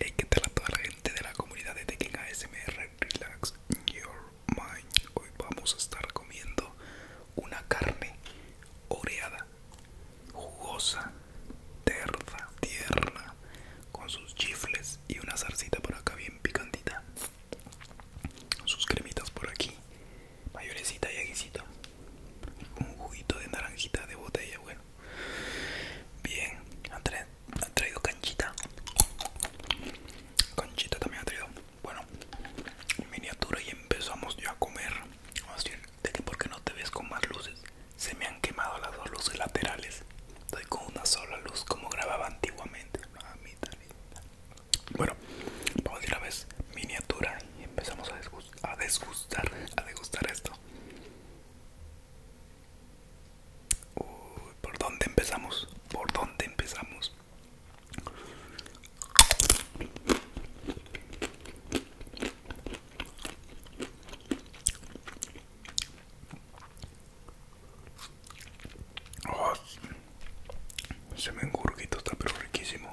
Hey, ¿qué tal a toda la gente de la comunidad de Tekken ASMR? Relax Your Mind. Hoy vamos a estar comiendo una carne oreada, jugosa, terza, tierna, con sus chifles y una salsita por acá bien picantita. Sus cremitas por aquí mayorecita y aguisita un juguito de naranjita de botella bueno bien ha traído canchita canchita también ha traído bueno miniatura y empezamos ya a comer que porque no te ves con más luces se me han quemado las dos luces laterales estoy con una sola luz como grababa antiguamente linda bueno, vamos a ir a ver miniatura y empezamos a desgustar, a degustar esto. ¿por dónde empezamos? ¿Por dónde empezamos? se me engurguito, está pero riquísimo.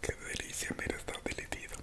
Qué delicia, mira, está delicioso.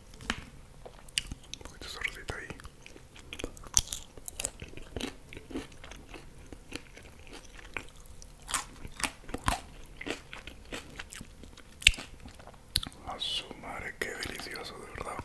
Un poquito sordita ahí. A su madre, qué delicioso, de verdad.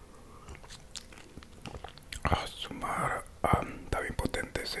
A sumar. Ah, está potente sí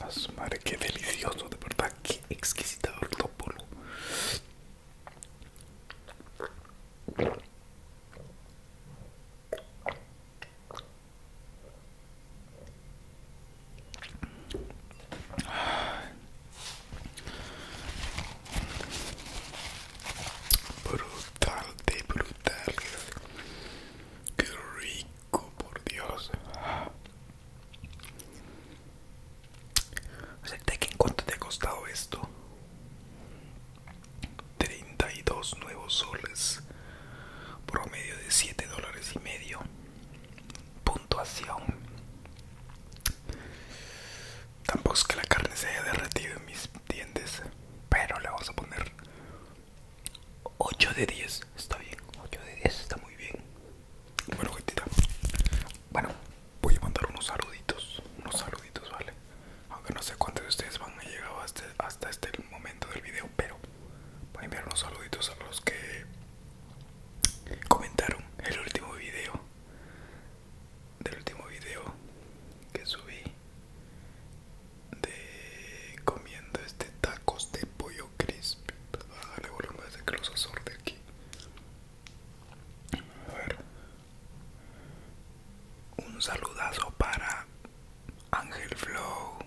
A su qué delicioso, de verdad, qué exquisito Brutal, de brutal. Qué rico, por Dios. Acepte que en cuánto te ha costado esto? 32 nuevos soles, promedio de 7 dólares y medio puntuación. Tampoco es que la carne se haya derretido en mis dientes, pero le vamos a poner 8 de 10. Está bien, 8 de 10 está muy bien. Bueno, bueno, voy a mandar unos saluditos, unos saluditos, ¿vale? Aunque no sé cuántos de ustedes van a llegar hasta, hasta este momento del video, pero voy a enviar unos saluditos a los que comentaron el último video del último video que subí de comiendo este tacos de pollo crisp pues, Dale a darle de que los aquí a ver un saludazo para Ángel Flow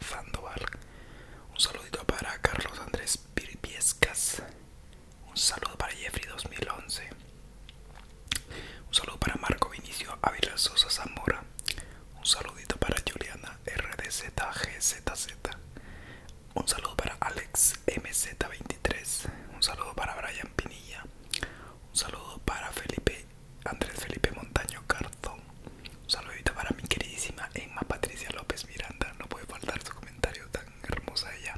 Sandoval. Un saludito para Carlos Andrés Pirpiescas. Un saludo para Jeffrey 2011. Un saludo para Marco Vinicio Ávila Sosa Zamora. Un saludito para Juliana RDZGZZ. Un saludo para Alex MZ23. Un saludo para Brian Pinilla. Un saludo para Felipe Andrés Felipe Montaño Carzón. Un saludito para mi queridísima Emma Patricia López Miranda. No puede faltar su comentario tan hermosa ella.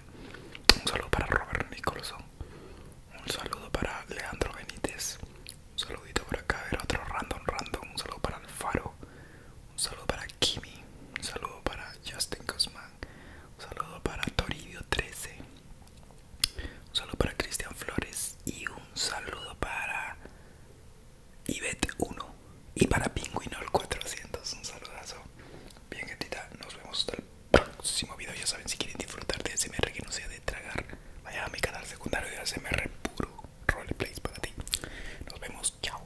Un saludo para Robert Nicholson. Un saludo para Leandro Benítez. Un saludito por acá, otro random random. Un saludo para Alfaro. Un saludo para Kimi. Un saludo para Justin Guzmán. Un saludo para Toribio 13. Un saludo para Cristian Flores. Y un saludo para Ibet 1 y para Pingüino el 400. Un saludazo. Bien, gatita nos vemos hasta el próximo video. Ya saben, si quieren disfrutar de SMR que no sea de tragar, vayan a mi canal secundario de SMR puro roleplay para ti. Nos vemos, chao.